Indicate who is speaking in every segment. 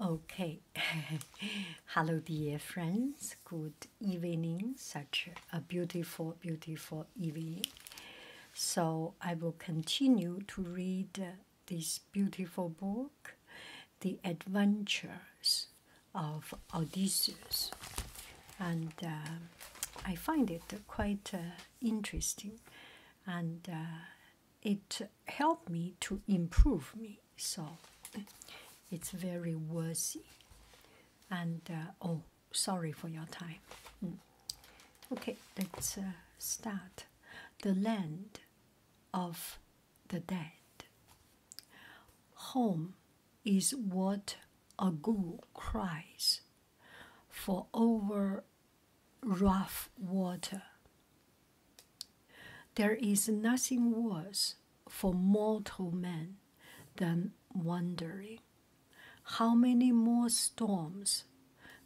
Speaker 1: Okay, hello, dear friends. Good evening. Such a beautiful, beautiful evening. So, I will continue to read this beautiful book, The Adventures of Odysseus. And uh, I find it quite uh, interesting. And uh, it help me to improve me. So it's very worthy. And uh, oh, sorry for your time. Mm. Okay, let's uh, start. The land of the dead. Home is what a ghoul cries for over rough water. There is nothing worse for mortal man than wondering how many more storms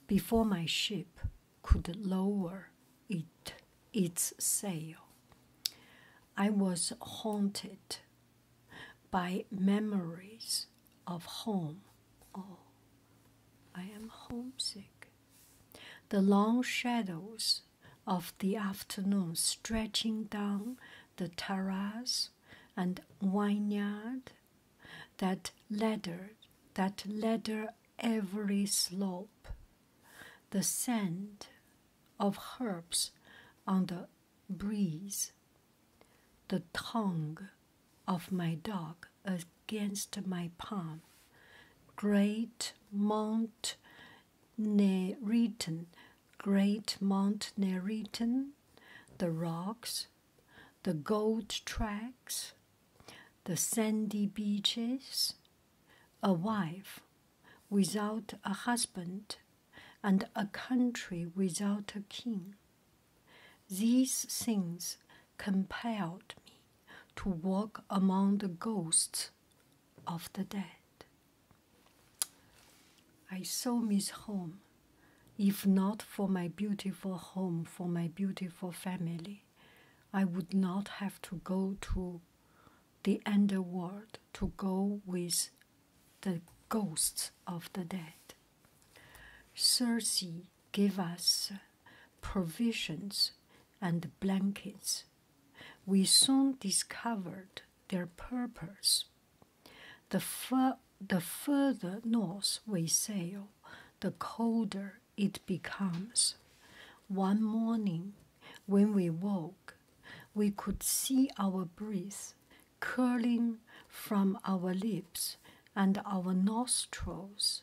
Speaker 1: before my ship could lower it its sail. I was haunted by memories of home. Oh. I am homesick. The long shadows of the afternoon stretching down the terrace and vineyard that ladder that ladder every slope, the scent of herbs on the breeze, the tongue of my dog against my palm. Great Mount Neritan, Great Mount Neritan, the rocks, the gold tracks, the sandy beaches, a wife without a husband, and a country without a king. These things compelled me to walk among the ghosts of the dead. I saw miss home, if not for my beautiful home, for my beautiful family. I would not have to go to the underworld to go with the ghosts of the dead. Circe gave us provisions and blankets. We soon discovered their purpose. the further north we sail, the colder it becomes. One morning, when we woke, we could see our breath curling from our lips and our nostrils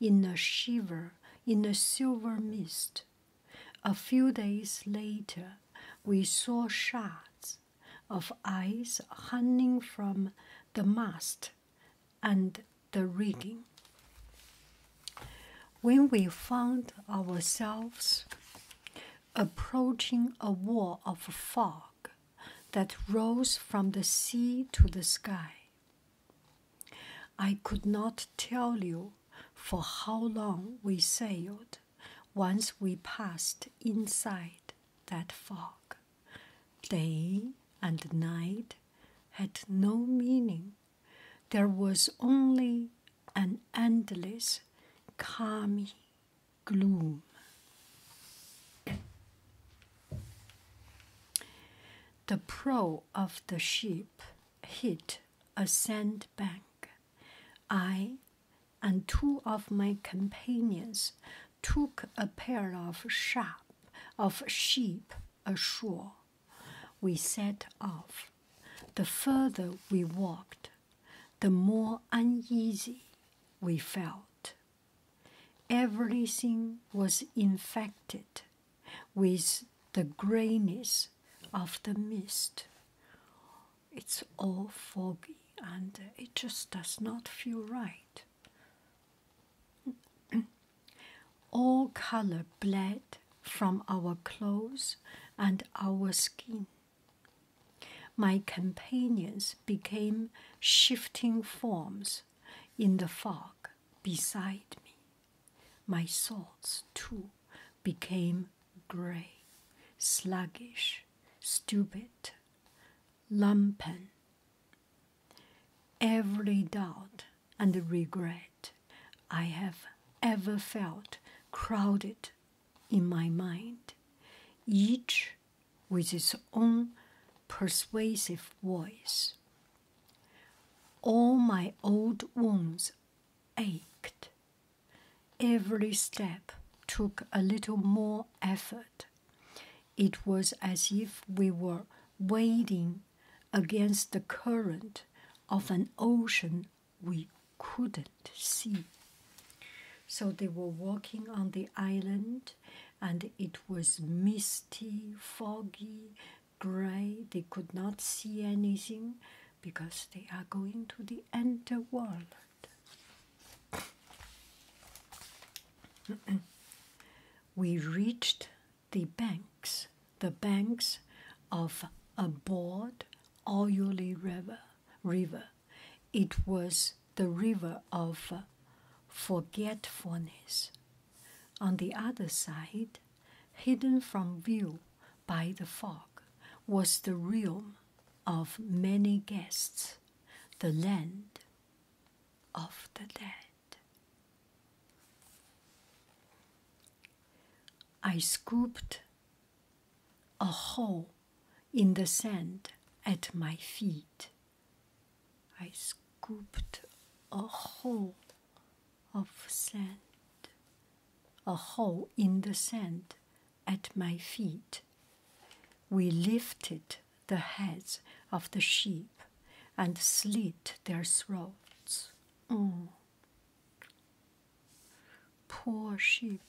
Speaker 1: in a shiver, in a silver mist. A few days later, we saw shards of ice hanging from the mast and the rigging. When we found ourselves approaching a wall of fog, that rose from the sea to the sky. I could not tell you for how long we sailed once we passed inside that fog. Day and night had no meaning. There was only an endless, calming gloom. The prow of the ship hit a sandbank. I and two of my companions took a pair of sharp of sheep ashore. We set off. The further we walked, the more uneasy we felt. Everything was infected with the grayness of the mist. It's all foggy and it just does not feel right. all color bled from our clothes and our skin. My companions became shifting forms in the fog beside me. My thoughts, too, became grey, sluggish, stupid, lumpen. Every doubt and regret I have ever felt crowded in my mind, each with his own persuasive voice. All my old wounds ached. Every step took a little more effort. It was as if we were wading against the current of an ocean we couldn't see. So they were walking on the island, and it was misty, foggy, gray. They could not see anything because they are going to the underworld. we reached the banks, the banks of a broad, oily river. River, it was the river of forgetfulness. On the other side, hidden from view by the fog, was the realm of many guests, the land of the dead. I scooped a hole in the sand at my feet. I scooped a hole of sand, a hole in the sand at my feet. We lifted the heads of the sheep and slit their throats. Oh, Poor sheep,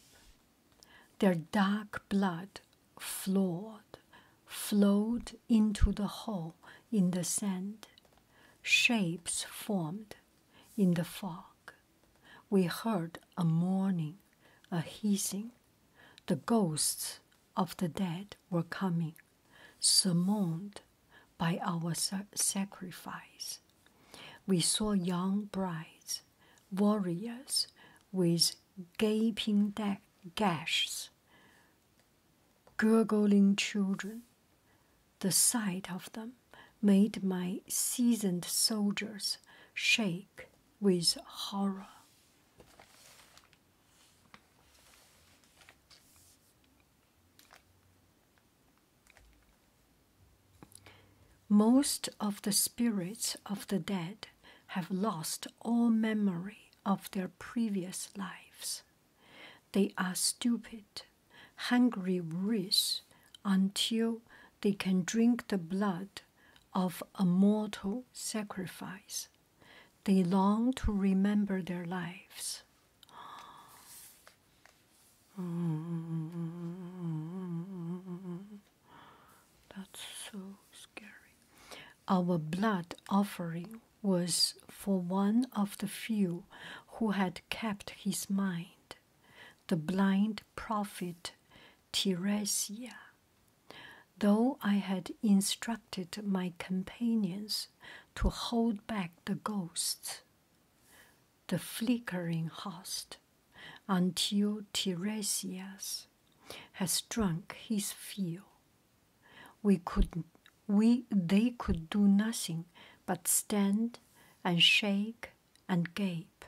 Speaker 1: their dark blood flowed, flowed into the hole in the sand. Shapes formed in the fog. We heard a mourning, a hissing. The ghosts of the dead were coming, summoned by our sacrifice. We saw young brides warriors with gaping gashes, gurgling children. The sight of them made my seasoned soldiers shake with horror. Most of the spirits of the dead have lost all memory of their previous lives. They are stupid, hungry wretches until they can drink the blood of a mortal sacrifice. They long to remember their lives. That's so scary. Our blood offering was for one of the few who had kept his mind, the blind prophet Teresia. Though I had instructed my companions to hold back the ghosts, the flickering host until Tiresias has drunk his fill. We could, we, they could do nothing but stand and shake and gape.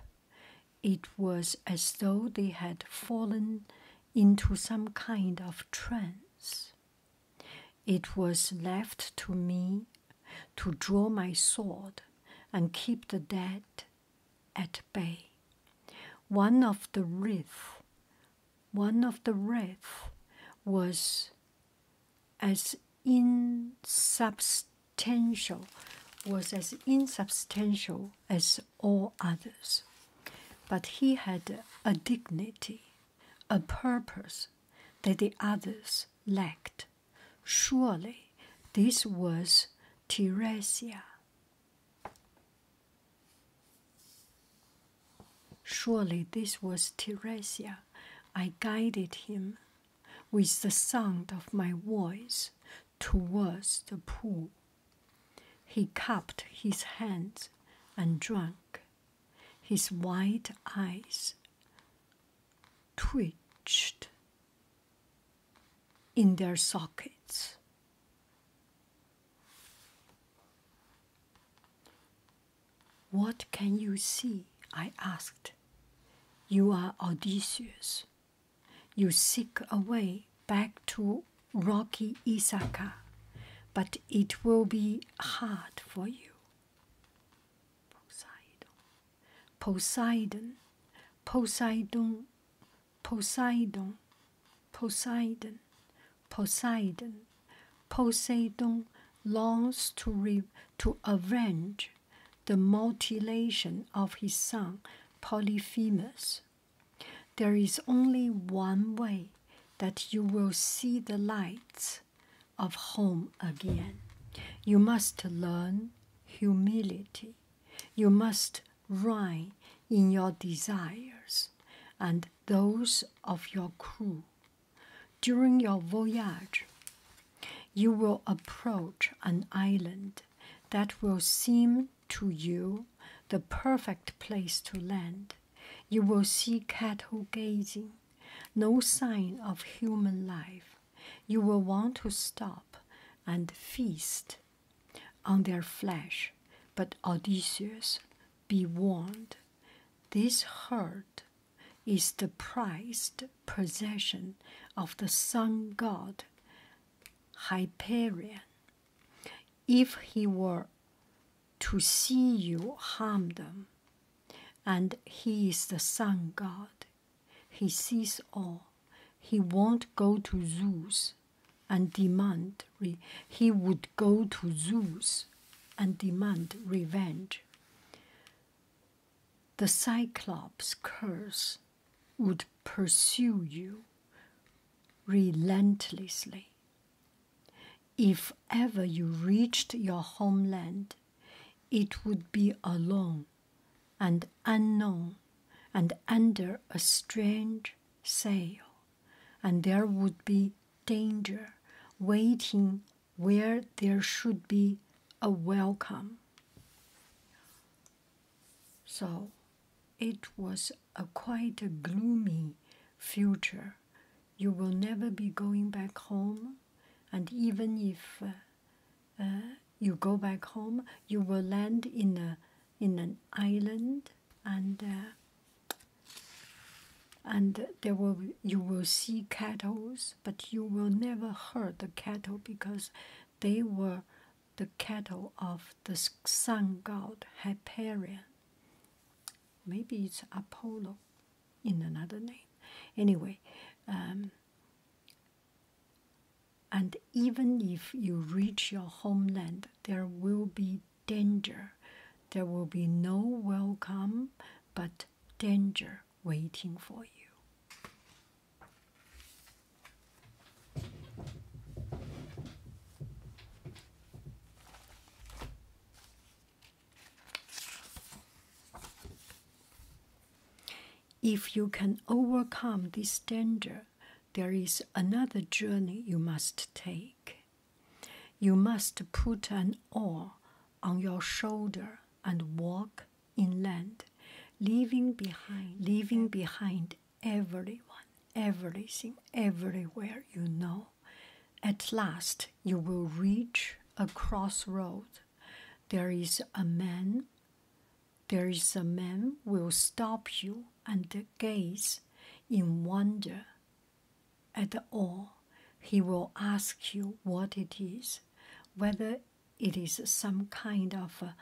Speaker 1: It was as though they had fallen into some kind of trance. It was left to me to draw my sword and keep the dead at bay. One of the riff, one of the riff, was as insubstantial, was as insubstantial as all others, but he had a dignity, a purpose that the others lacked. Surely this was Teresia. Surely this was Teresia. I guided him with the sound of my voice towards the pool. He cupped his hands and drank. His wide eyes twitched in their sockets. What can you see? I asked. You are Odysseus. You seek a way back to rocky Ithaca, but it will be hard for you. Poseidon, Poseidon, Poseidon, Poseidon, Poseidon, Poseidon longs to re to avenge the mutilation of his son Polyphemus. There is only one way that you will see the lights of home again. You must learn humility. You must reign in your desires and those of your crew. During your voyage, you will approach an island that will seem to you the perfect place to land. You will see cattle gazing, no sign of human life, you will want to stop and feast on their flesh. But Odysseus, be warned, this herd is the prized possession of the sun god Hyperion. If he were to see you harm them, and he is the sun god. He sees all. He won't go to Zeus, and demand. he would go to Zeus, and demand revenge. The Cyclops curse would pursue you relentlessly. If ever you reached your homeland, it would be alone and unknown and under a strange sail, and there would be danger waiting where there should be a welcome. So it was a quite a gloomy future you will never be going back home, and even if uh, you go back home, you will land in a in an island, and uh, and there will you will see cattle, but you will never hurt the cattle because they were the cattle of the sun god Hyperion. Maybe it's Apollo in another name. Anyway, um, and even if you reach your homeland, there will be danger. There will be no welcome, but danger waiting for you. If you can overcome this danger, there is another journey you must take. You must put an oar on your shoulder and walk inland, leaving behind, leaving behind everyone, everything, everywhere you know at last you will reach a crossroad. There is a man, there is a man will stop you and gaze in wonder at all. He will ask you what it is, whether it is some kind of a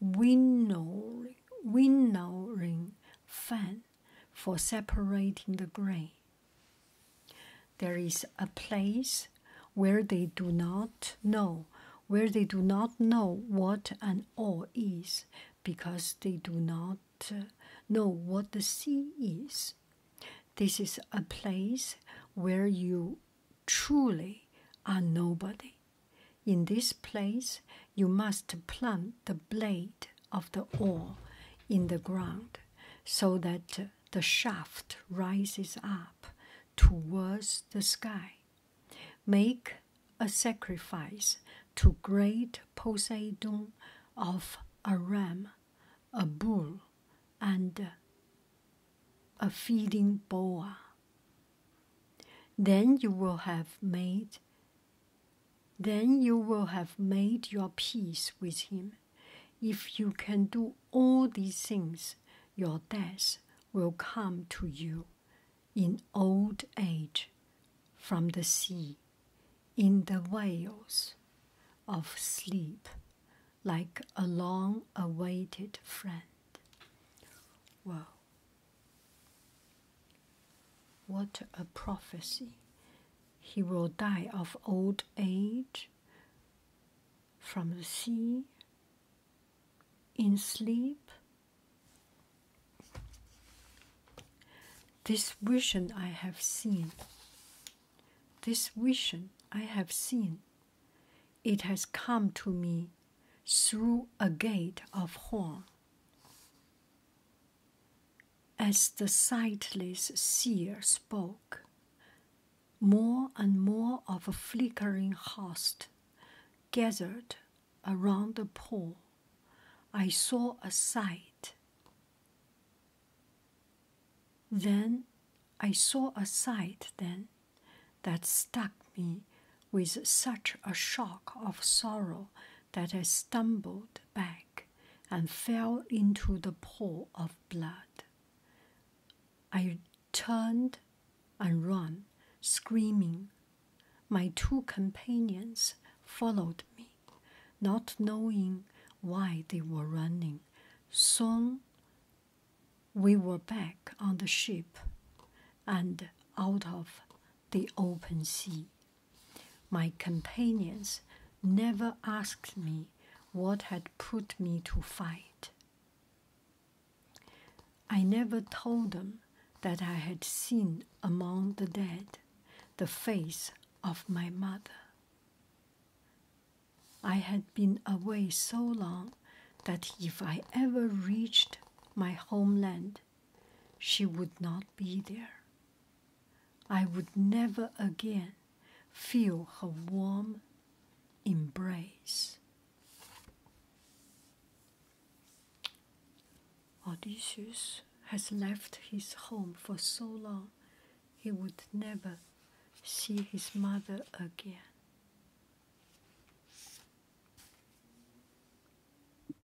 Speaker 1: winnowing, winnowing fan for separating the grain. There is a place where they do not know, where they do not know what an O is, because they do not uh, know what the sea is. This is a place where you truly are nobody. In this place, you must plant the blade of the oar in the ground so that the shaft rises up towards the sky. Make a sacrifice to great Poseidon of a ram, a bull, and a feeding boa. Then you will have made then you will have made your peace with him. If you can do all these things, your death will come to you in old age from the sea, in the wails of sleep, like a long awaited friend. Wow. What a prophecy he will die of old age from the sea in sleep. This vision I have seen. This vision I have seen. It has come to me through a gate of horn. As the sightless seer spoke, more and more of a flickering host gathered around the pole. I saw a sight. Then I saw a sight then that struck me with such a shock of sorrow that I stumbled back and fell into the pool of blood. I turned and ran, screaming. My two companions followed me, not knowing why they were running. Soon we were back on the ship and out of the open sea. My companions never asked me what had put me to fight. I never told them that I had seen among the dead the face of my mother. I had been away so long that if I ever reached my homeland, she would not be there. I would never again feel her warm embrace. Odysseus has left his home for so long he would never see his mother again.